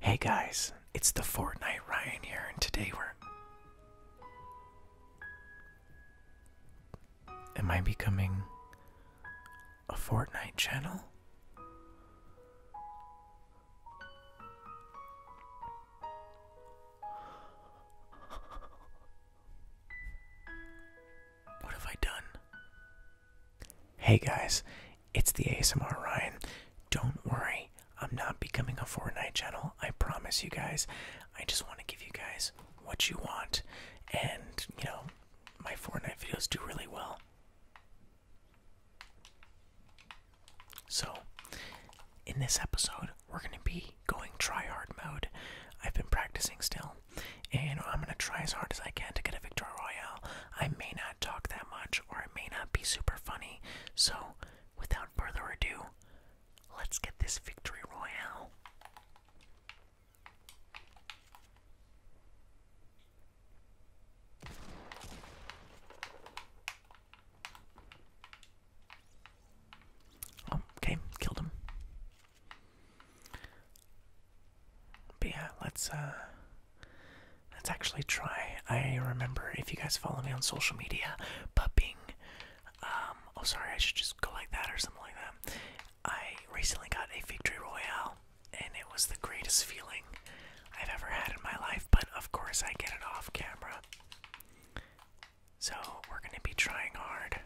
Hey guys, it's the Fortnite Ryan here, and today we're. Am I becoming a Fortnite channel? What have I done? Hey guys, it's the ASMR Ryan. Don't worry, I'm not becoming a Fortnite channel. I promise you guys. I just want to give you guys what you want. And, you know, my Fortnite videos do really well. So, in this episode, we're going to be going try hard mode. I've been practicing still, and I'm going to try as hard as I can to get a Victory Royale. I may not talk that much or I may not be super funny. So, without further ado, let's get this victory royale. Oh, okay, killed him. But yeah, let's uh, let's actually try. I remember if you guys follow me on social media, pupping. Um, oh sorry, I should just go like that or something like that. I recently got a victory royale, and it was the greatest feeling I've ever had in my life. But of course, I get it off camera. So we're gonna be trying hard.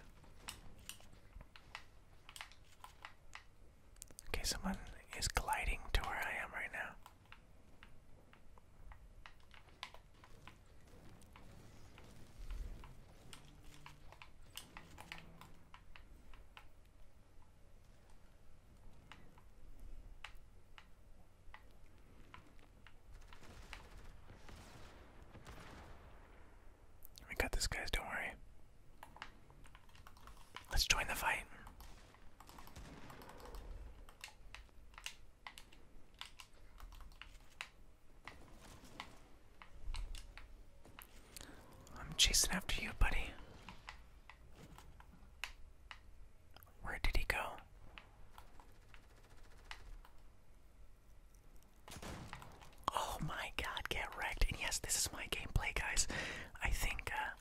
Okay, someone is gliding to where I am right now. We got this, guys, don't worry. Let's join the fight. I'm chasing after you, buddy. Where did he go? Oh my god, get wrecked. And yes, this is my gameplay, guys. I think uh,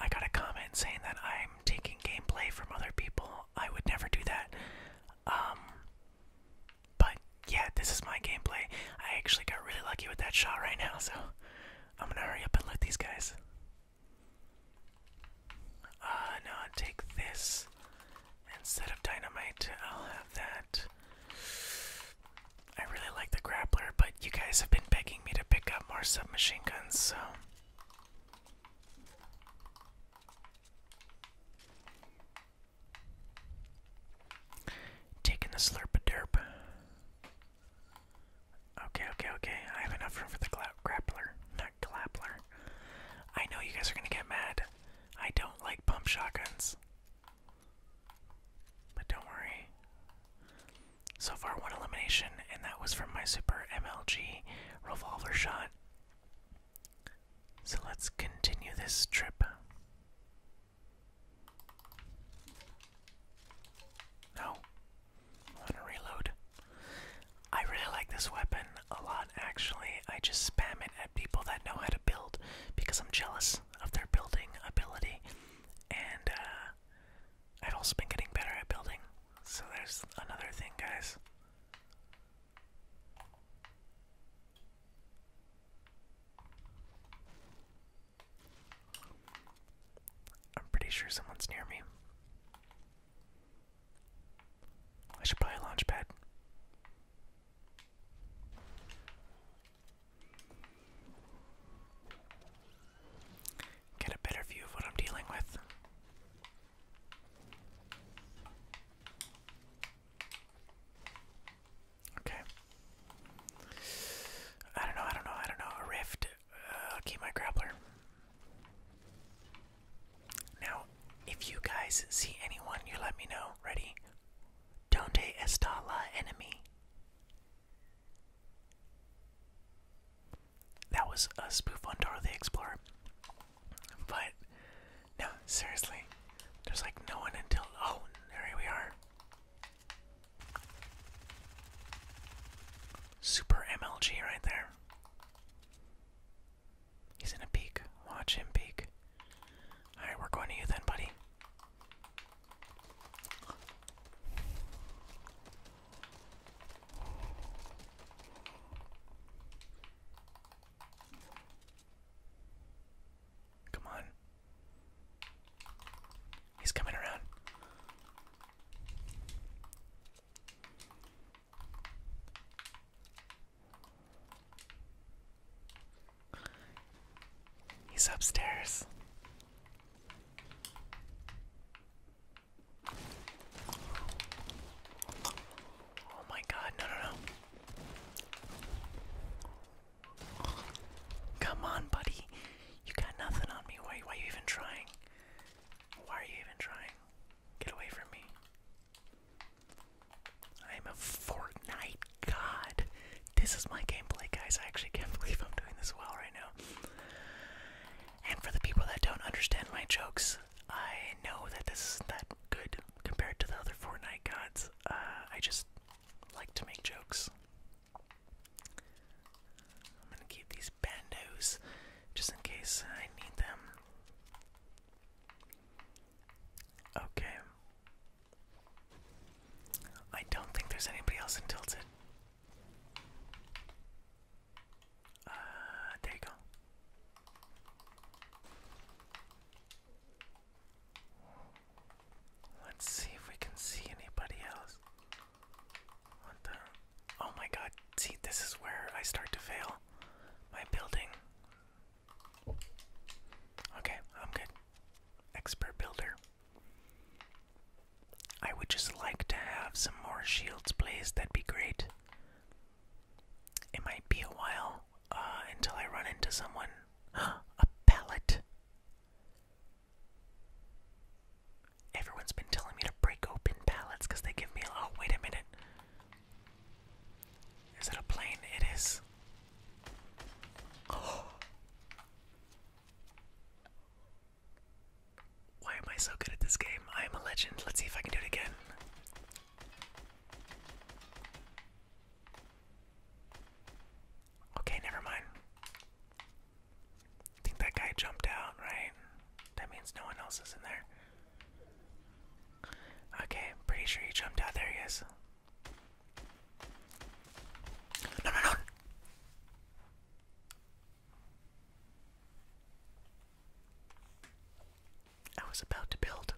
I got a comment saying that I'm taking gameplay from other people. I would never do that. Um, but yeah, this is my gameplay. I actually got really lucky with that shot right now, so I'm gonna hurry up and loot these guys. Uh, no, i take this instead of dynamite. I'll have that. I really like the grappler, but you guys have been begging me to pick up more submachine guns, so. Taking the slurp a derp. Okay, okay, okay. I have enough room for the grappler, not clappler. I know you guys are gonna get mad. I don't like pump shotguns. But don't worry. So far, one elimination, and that was from my Super MLG revolver shot. So let's continue this trip. No. I want to reload. I really like this weapon a lot, actually. I just spam it at people that know how to build because I'm jealous of their building ability and uh, I've also been getting better at building. So there's another thing, guys. I'm pretty sure someone's near me. I should probably launch pad. Get a better view of what I'm dealing with. Okay. I don't know, I don't know, I don't know. A rift. Uh, my grappler. Now, if you guys see anyone, you let me know. Ready? Donde está enemy? That was a spoof on Dora the Explorer. But, no, seriously. There's like no one until. Oh, there we are. Super MLG right there. He's in a peek. Watch him peek. Alright, we're going to you then, buddy. Come on. He's coming around. He's upstairs. Oh my god, no, no, no. Come on, buddy. You got nothing on me. Why, why are you even trying? Why are you even trying? Get away from me. I am a Fortnite god, this is my gameplay, guys. I actually can't believe I'm doing this well right now. And for the people that don't understand my jokes, I know that this isn't that good compared to the other Fortnite gods. Uh, I just like to make jokes. I'm gonna keep these bandos just in case I need them. Okay. I don't think there's anybody else in Tilted. Uh, there you go. Let's see if we can see anybody else. What the? Oh my god, see, this is where I start to fail. My building Okay, I'm good. Expert builder. I would just like to have some more shields, placed. That'd be great. It might be a while uh, until I run into someone. a pallet. Everyone's been telling me to break open pallets because they give me a. Oh, wait a minute. Is it a plane? It is. Why am I so good at this game? I am a legend. Let's see if I can do it again. Okay, never mind. I think that guy jumped out, right? That means no one else is in there. Okay, pretty sure he jumped out. There he is. No, no, no. I was about to build.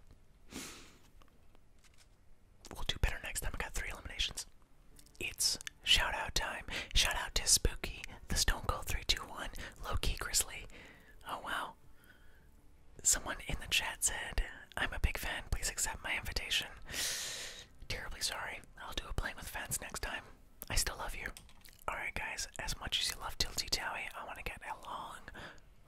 We'll do better next time. I got three eliminations. It's shout out time. Shout out to Spooky, the Stone Cold 321, Loki, Key Grizzly. Oh wow. Someone in the chat said, I'm a big fan, please accept my invitation. Terribly sorry. I'll do a plane with fans next time. I still love you. Alright, guys, as much as you love Tilty Towie, I want to get a long,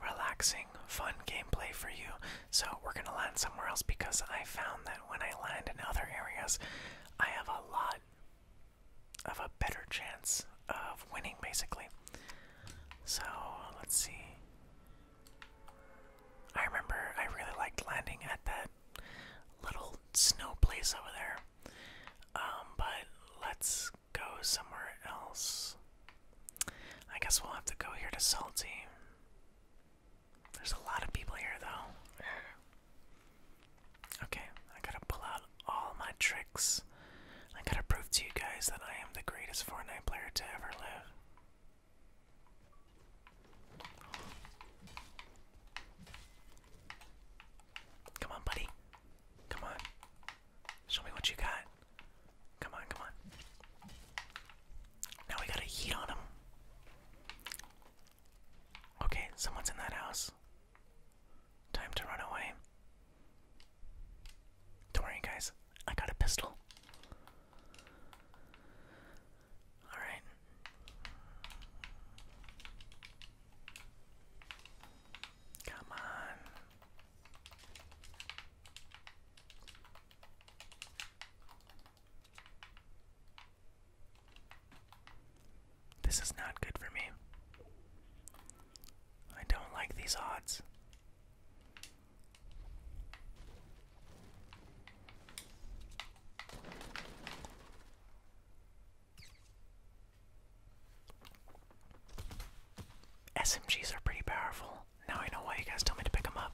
relaxing, fun gameplay for you. So, we're going to land somewhere else because I found that when I land in other areas, I have a lot of a better chance of winning, basically. So, let's see. I remember I really liked landing at that little snow place over there. Um, but let's go somewhere else. I guess we'll have to go here to Salty. There's a lot of people here though. Okay, I gotta pull out all my tricks. I gotta prove to you guys that I am the greatest Fortnite player to ever live. Come on, buddy. Come on. Show me what you got. Come on, come on. Now we got a heat on him. Okay, someone's in that house. Time to run away. Don't worry, guys. I got a pistol. Alright. Come on. This is not good for me. I don't like these odds. SMGs are pretty powerful. Now I know why you guys tell me to pick them up.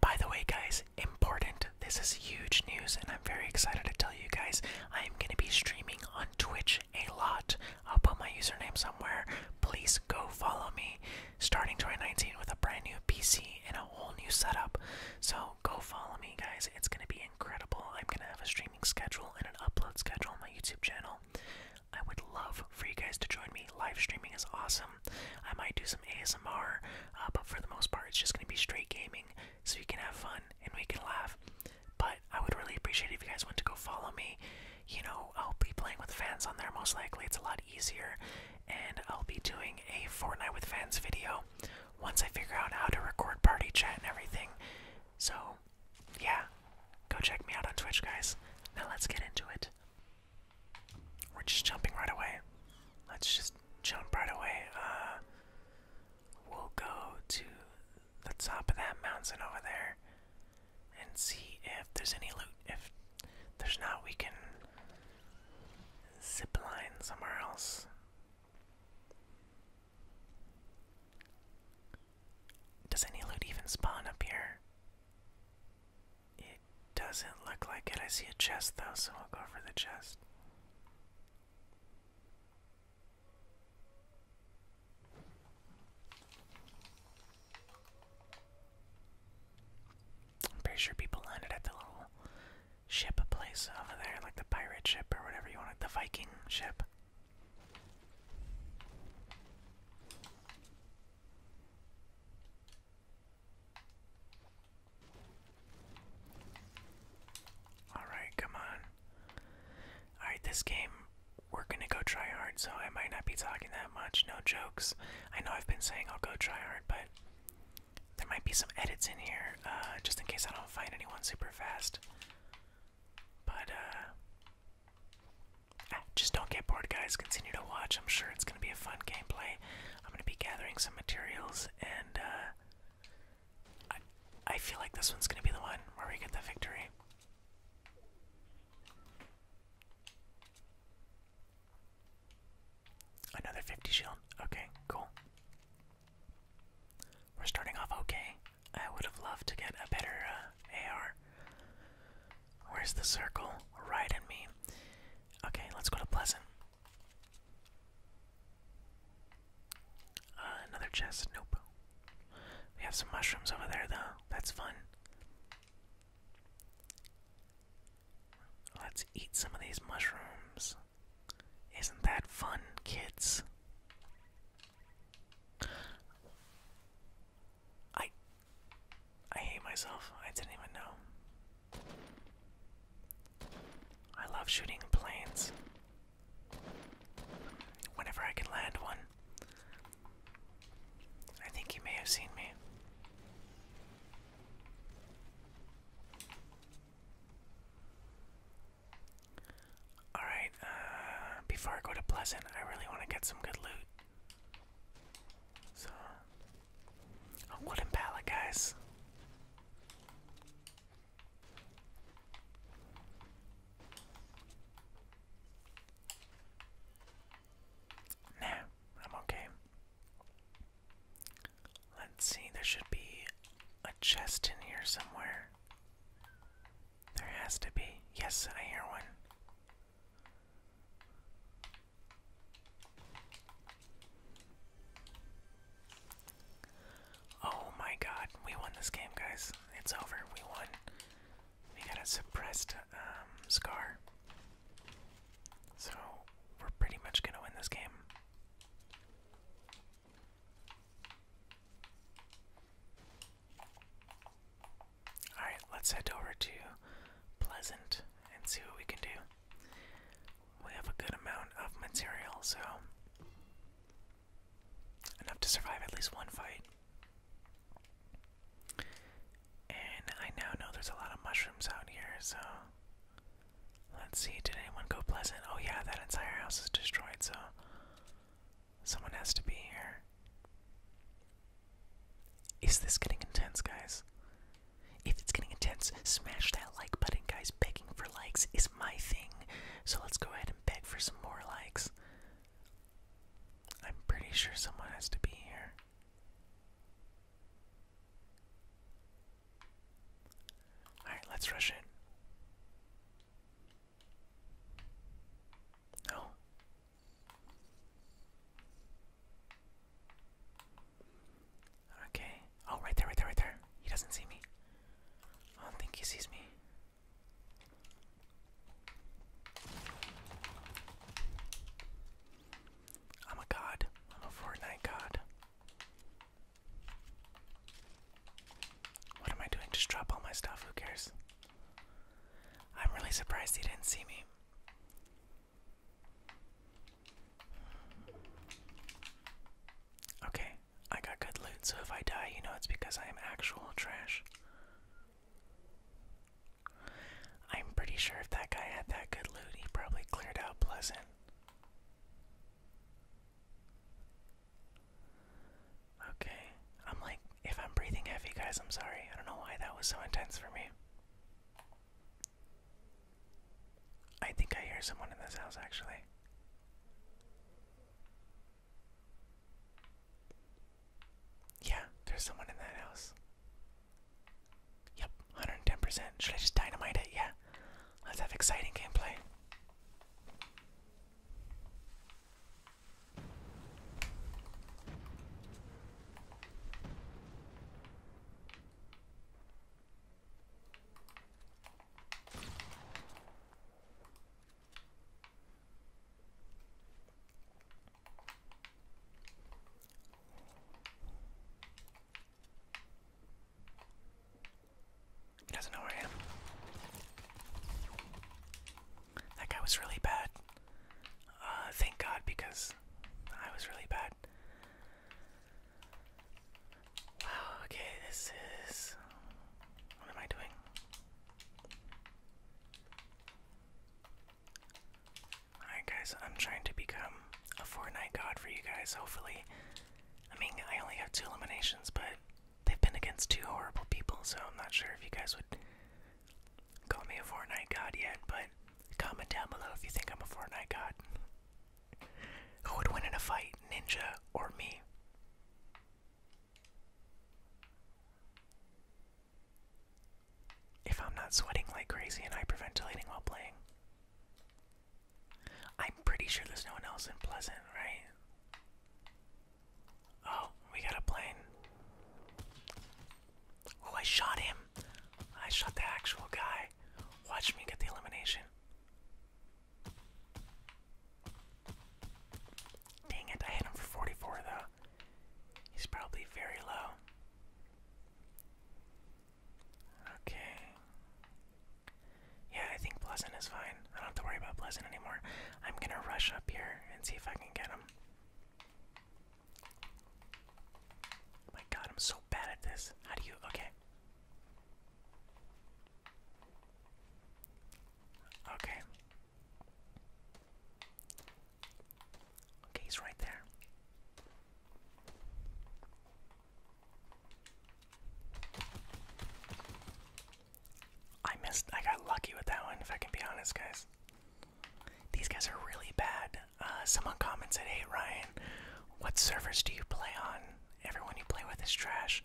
By the way, guys, important. This is huge news, and I'm very excited to tell you guys I am going to be streaming on Twitch a lot. I'll put my username somewhere. Please go follow me starting 2019 with a brand new PC and a whole new setup. So go follow me, guys. It's going to be incredible. I'm going to have a streaming schedule and an upload schedule on my YouTube channel. I would love for you guys to join me. Live streaming is awesome. I might do some ASMR, uh, but for the most part, it's just going to be straight gaming so you can have fun and we can laugh. But I would really appreciate if you guys went to go follow me you know, I'll be playing with fans on there most likely. It's a lot easier. And I'll be doing a Fortnite with fans video once I figure out how to record party chat and everything. So, yeah, go check me out on Twitch, guys. Now let's get into it. We're just jumping right away. Let's just jump right away. Uh, we'll go to the top of that mountain over there and see if there's any loot. If there's not, we can zip line somewhere else. Does any loot even spawn up here? It doesn't look like it. I see a chest though, so we'll go for the chest. I'm pretty sure people landed at the little ship place over there, like the pirate ship or whatever you want the Viking ship. Alright, come on. Alright, this game we're gonna go try hard, so I might not be talking that much. No jokes. I know I've been saying I'll go try hard, but there might be some edits in here, uh, just in case I don't find anyone super fast. But uh, ah, just don't get bored, guys. Continue to watch. I'm sure it's gonna be a fun gameplay. I'm gonna be gathering some materials, and uh, I feel like this one's gonna be the one where we get the victory. Another 50 shield. Okay, cool. We're starting off okay. I would have loved to get a better uh, AR. Where's the circle? Right in me. Okay, let's go to Pleasant. Uh, another chest. Nope. We have some mushrooms over there, though. That's fun. Let's eat some of these mushrooms. Isn't that fun, kids? I I hate myself. I didn't even know. I love shooting planes. Whenever I can land one, I think you may have seen me. Alright, uh, before I go to Pleasant, I really want to get some good loot. So, a wooden pallet, guys. Nah, I'm okay. Let's see, there should be a chest in here somewhere. There has to be. Yes, I hear one. Oh my god, we won this game, guys. It's over. We won. We got a suppressed um, scar. So we're pretty much gonna win this game. Alright, let's head over to Pleasant and see what we can do. We have a good amount of material, so enough to survive at least one fight. And I now know there's a lot of mushrooms out here, so let's see. Did anyone go pleasant? Oh, yeah, that entire house is destroyed, so someone has to be here. Is this getting intense, guys? If it's getting intense, smash that like button, guys. Begging for likes is my thing, so let's go ahead and beg for some more likes. I'm pretty sure someone has to be here. Alright, let's rush in. No. Okay. Oh, right there, right there, right there. He doesn't see me. I don't think he sees me. I'm a god. I'm a Fortnite god. What am I doing? Just drop all my stuff. Who cares? I'm really surprised he didn't see me. Okay, I got good loot, so if I die, you know it's because I am actual trash. I'm pretty sure if that guy had that good loot, he probably cleared out Pleasant. Okay, I'm like, if I'm breathing heavy, guys, I'm sorry. I don't know why that was so intense for me. I think I hear someone in this house, actually. Yeah, there's someone in that house. Yep, 110%. Should I just dynamite it? Yeah. Let's have exciting gameplay. He doesn't know where I am. That guy was really bad. Uh, thank God, because I was really bad. Wow, okay, this is. What am I doing? Alright guys, I'm trying to become a Fortnite god for you guys, hopefully. I mean, I only have two eliminations, but they've been against two horrible people, so I'm not sure if you guys would call me a Fortnite god yet, but comment down below if you think I'm a Fortnite god. Who would win in a fight, Ninja or me? If I'm not sweating like crazy and hyperventilating while playing. I'm pretty sure there's no one else in Pleasant, right? Oh, we got a plane. Oh, I shot him. I shot the actual guy. Watch me get the elimination. Dang it, I hit him for 44 though. He's probably very low. Okay. Yeah, I think Pleasant is fine. I don't have to worry about Pleasant anymore. I'm gonna rush up here and see if I can get him. Oh my god, I'm so bad at this. How do you. Okay. Okay. Okay, he's right there. I missed. I got lucky with that one, if I can be honest, guys. These guys are really bad. Uh, someone commented, "Hey Ryan, what servers do you play on? Everyone you play with is trash."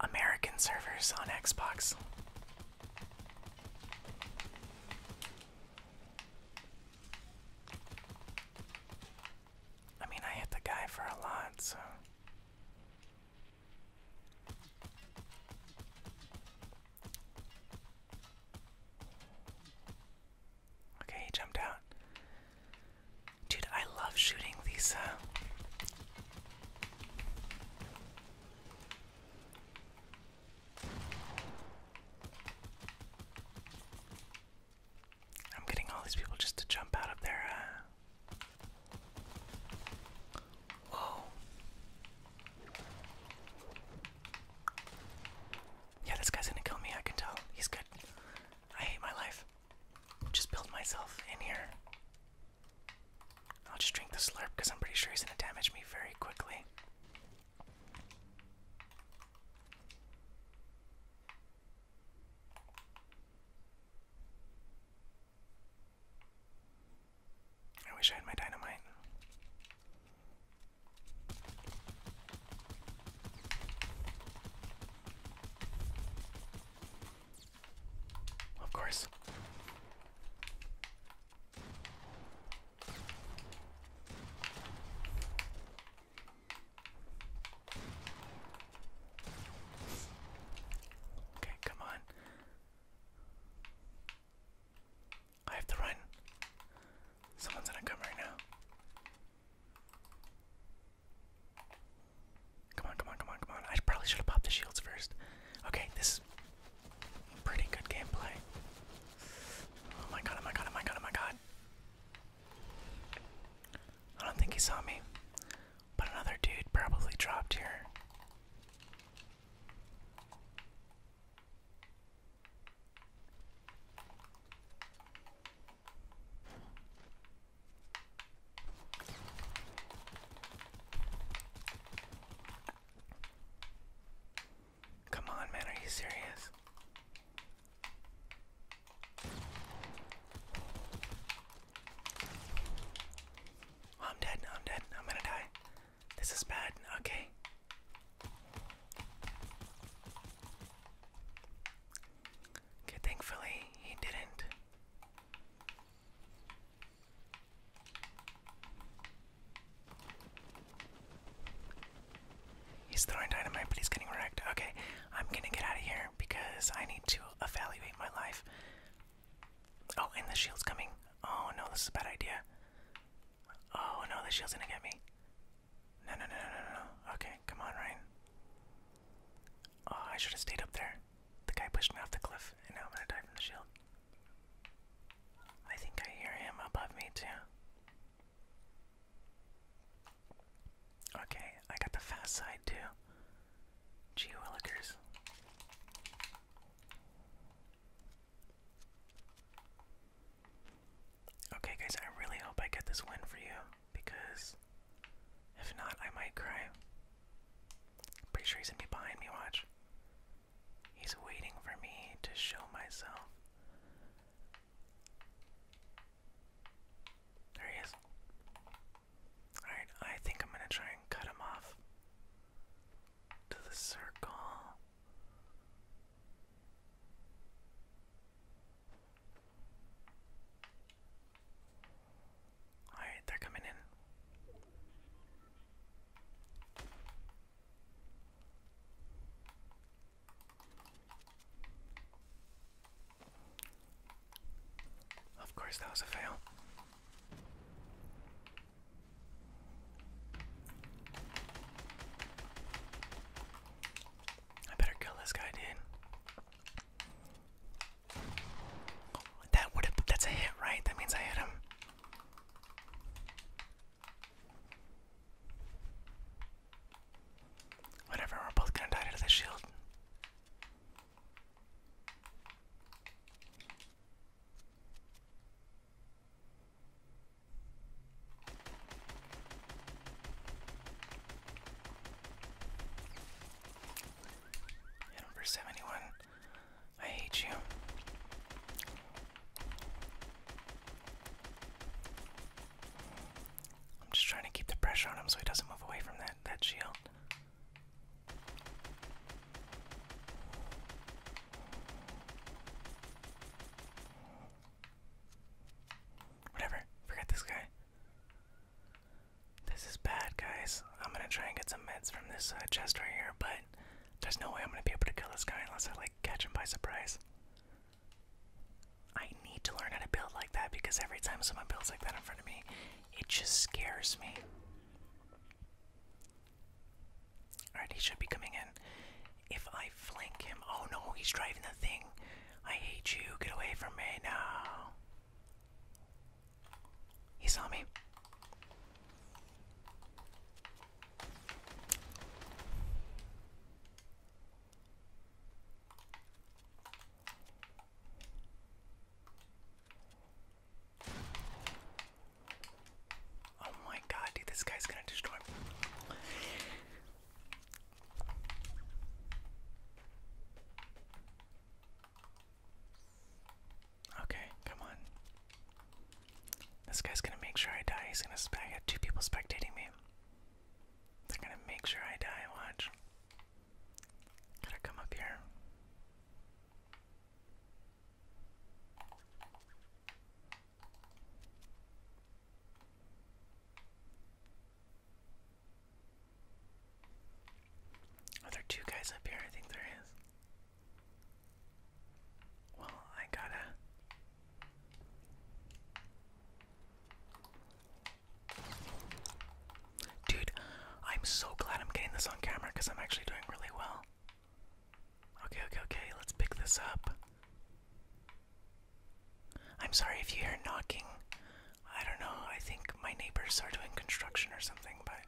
American servers on Xbox. I mean, I hit the guy for a lot, so. Okay, he jumped out. Dude, I love shooting these I'm getting all these people just to jump out of their uh, Whoa. Yeah, this guy's gonna kill me, I can tell. He's good. I hate my life. Just build myself in here. I'll just drink the slurp because I'm pretty sure he's going to damage me very quickly. I wish I had my dynamite. Of course. Okay, come on. I have to run. Someone's gonna come right now. Come on, come on, come on, come on. I probably should have popped the shields first. Okay, this is pretty good gameplay. Oh my god, oh my god, oh my god, oh my god. I don't think he saw me. But another dude probably dropped here. Come on, man, are you serious? I'm dead, I'm dead, I'm gonna die. This is bad, okay. Okay, thankfully he didn't. He's throwing dynamite, but he's getting wrecked. Okay, I'm gonna get out of here because I need to evaluate my life. Oh, and the shield's coming. Oh no, this is a bad idea. Oh no, the shield's gonna get me. No, no, no, no, no, no. Okay, come on, Ryan. Oh, I should have stayed up there. The guy pushed me off the cliff, and now I'm gonna die from the shield. I think I hear him above me, too. Okay, I got the fast side, too. Gee Okay, guys, I really hope I get this win for you, because if not, I might cry. Pretty sure he's gonna be behind me, watch. He's waiting for me to show myself. There he is. Alright, I think I'm gonna try and cut him off to the circle. Alright, they're coming in. Of course, that was a fail. I better kill this guy, dude. That would that's a hit, right? That means I hit him. Whatever, we're both gonna die to the shield. Hit 71. I hate you. I'm just trying to keep the pressure on him so he doesn't move away from that that shield. Whatever. Forget this guy. This is bad, guys. I'm gonna try and get some meds from this uh, chest right here, but there's no way I'm gonna be able to kill this guy unless I like catch him by surprise. I need to learn how to build like that because every time someone builds like that in front of me, it just scares me. Alright, he should be coming in. If I flank him, oh no, he's driving the thing. I hate you. Get away from me now. He saw me. Oh my god, dude, this guy's gonna destroy me. Okay, come on. This guy's gonna make sure I die. He's gonna. I got two people spectating me. They're gonna make sure I die. Watch. Gotta come up here. Are there two guys up here? I think there is. Well, I gotta. Dude, I'm so glad I'm getting this on camera because I'm actually doing really well. Okay, okay, okay, let's pick this up. I'm sorry if you hear knocking. I don't know. I think my neighbors are doing construction or something, but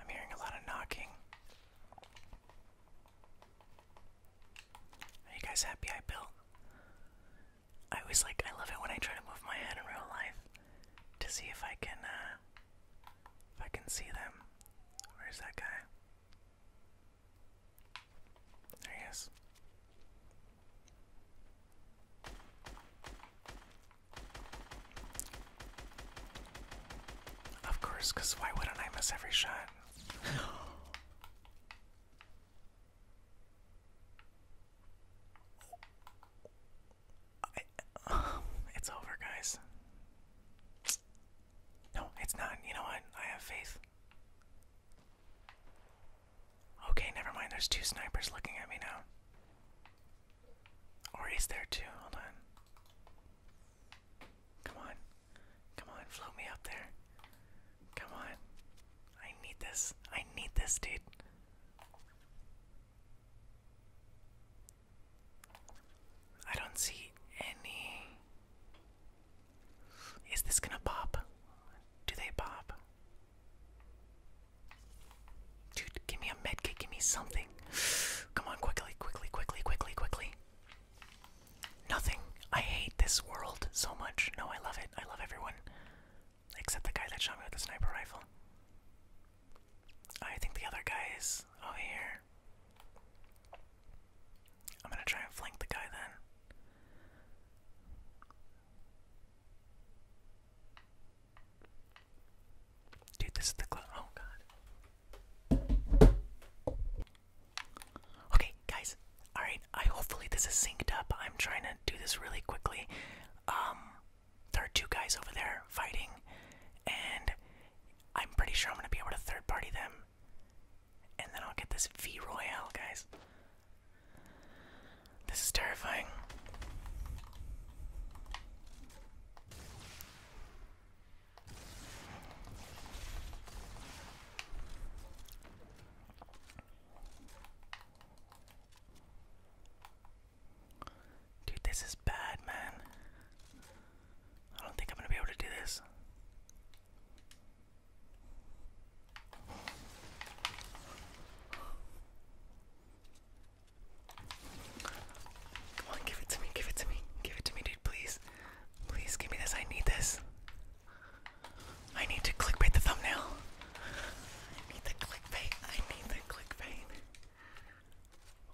I'm hearing a lot of knocking. Are you guys happy I built? I always like, I love it when I try to move my head in real life to see if I can, uh, if I can see them. Where's that guy? There he is. Of course, because why wouldn't I miss every shot? it's over, guys. No, it's not. You know what? I have faith. Okay, never mind. There's two snipers looking at me now. Or is there two? Hold on. Come on. Come on, float me up there. Come on. I need this. I need this, dude. I don't see any. Is this gonna pop? Do they pop? Dude, give me a medkit, give me something. Come on, quickly, quickly, quickly, quickly, quickly. Nothing. I hate this world so much. No, I love it. I love everyone. Except the guy that shot me with the sniper rifle. I think the other guy is over here. I'm gonna try and flank the guy then. Dude, this is the club. Oh god. Okay, guys. All right. hopefully this is synced up. I'm trying to do this really quickly. Um, there are two guys over there fighting, and I'm pretty sure I'm gonna be able to third party them, and then I'll get this Vroyal, guys. This is terrifying. Dude, this is bad, man. I don't think I'm gonna be able to do this. Come on, give it to me, give it to me, give it to me, dude, please. Please give me this, I need this. I need to clickbait the thumbnail. I need the clickbait, I need the clickbait.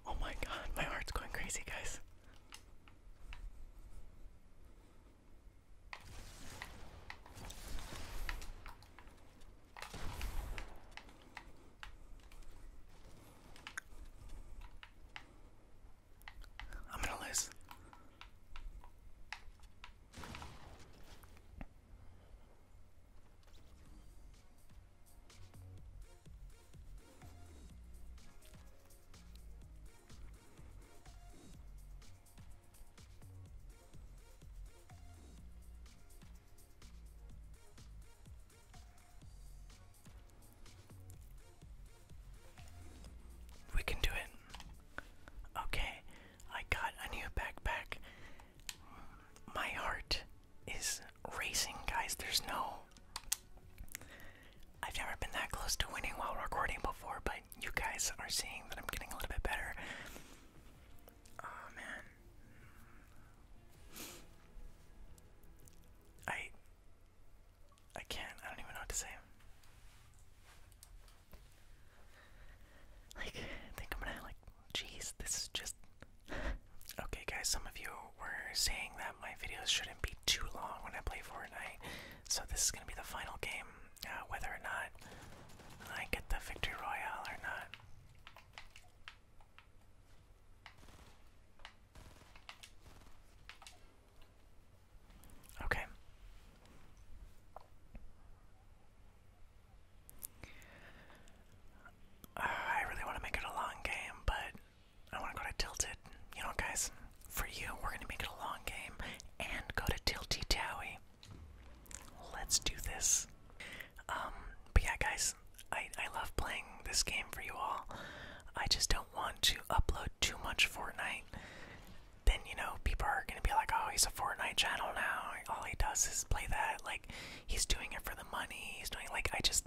Oh my god, my heart's going crazy, guys. I'm gonna lose. We can do it. Okay, I got a new backpack. My heart is racing, guys. There's no. I've never been that close to winning while recording before, but you guys are seeing that I'm getting a little bit better. Oh man. I I can't. I don't even know what to say. Like, I think I'm gonna like. Jeez, this is just. okay, guys. Some of you were saying that my videos shouldn't be too long when I play Fortnite. So this is gonna be the final game, uh, whether or not I get the victory royale or not. Okay. I really want to make it a long game, but I want to go to Tilted. You know, guys, for you, we're going to make it a long game and go to Tilty Let's do this. Um, but yeah, guys, I, I love playing this game for you all. I just don't want to upload too much Fortnite. Then, you know, people are gonna be like, oh, he's a Fortnite channel now. All he does is play that. Like, he's doing it for the money. He's doing, like, I just.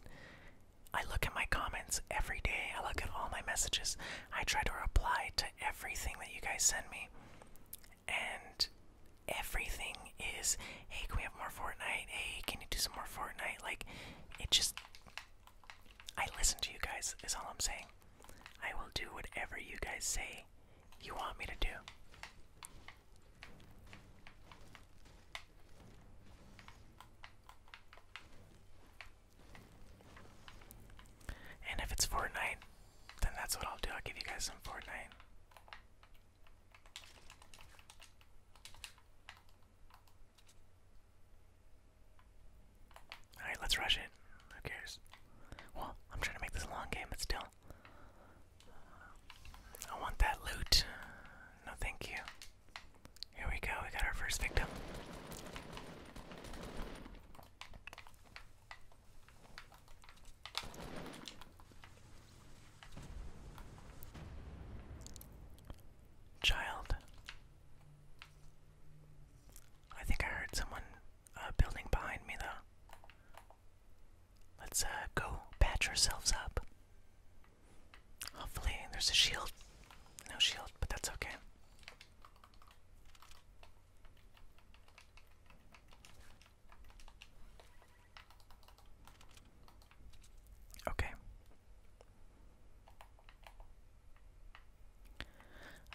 I look at my comments every day. I look at all my messages. I try to reply to everything that you guys send me and everything is hey can we have more Fortnite? Hey, can you do some more Fortnite? Like it just I listen to you guys is all I'm saying. I will do whatever you guys say you want me to do. And if it's Fortnite, then that's what I'll do. I'll give you guys some Fortnite. Alright, let's rush it. Who cares? Well, I'm trying to make this a long game, but still. I want that loot. No, thank you. Here we go, we got our first victim. Child. I think I heard someone uh, building behind me, though. Let's uh, go patch ourselves up. Hopefully, there's a shield. No shield, but that's okay. Okay.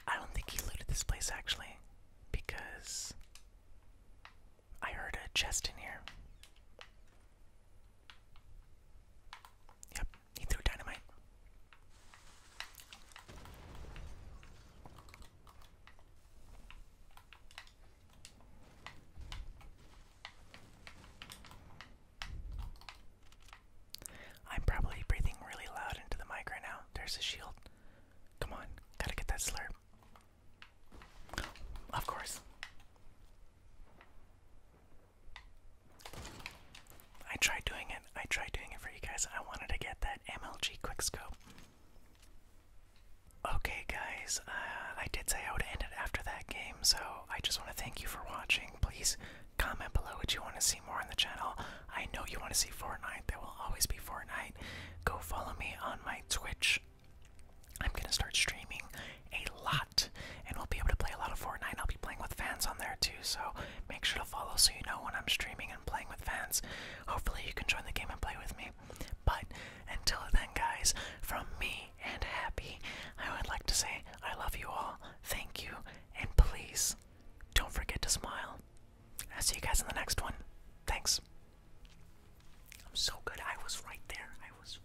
I don't think he looted this place actually, because I heard a chest in here. Yep, he threw dynamite. I'm probably breathing really loud into the mic right now. There's a shield. Come on, gotta get that slurp. Of course. I tried doing it. I tried doing it for you guys. I wanted to get that MLG quickscope. Okay, guys, uh, I did say I would end it after that game, so I just want to thank you for watching. Please comment below what you want to see more on the channel. I know you want to see Fortnite. There will always be Fortnite. Go follow me on my Twitch. I'm going to start streaming a lot, and we'll be able to play a lot of Fortnite. I'll be playing with fans on there too, so make sure to follow so you know when I'm streaming and playing with fans. Hopefully, you can join the game and play with me. But until then, guys, from me and Happy, I would like to say I love you all, thank you, and please don't forget to smile. I'll see you guys in the next one. Thanks. I'm so good. I was right there. I was.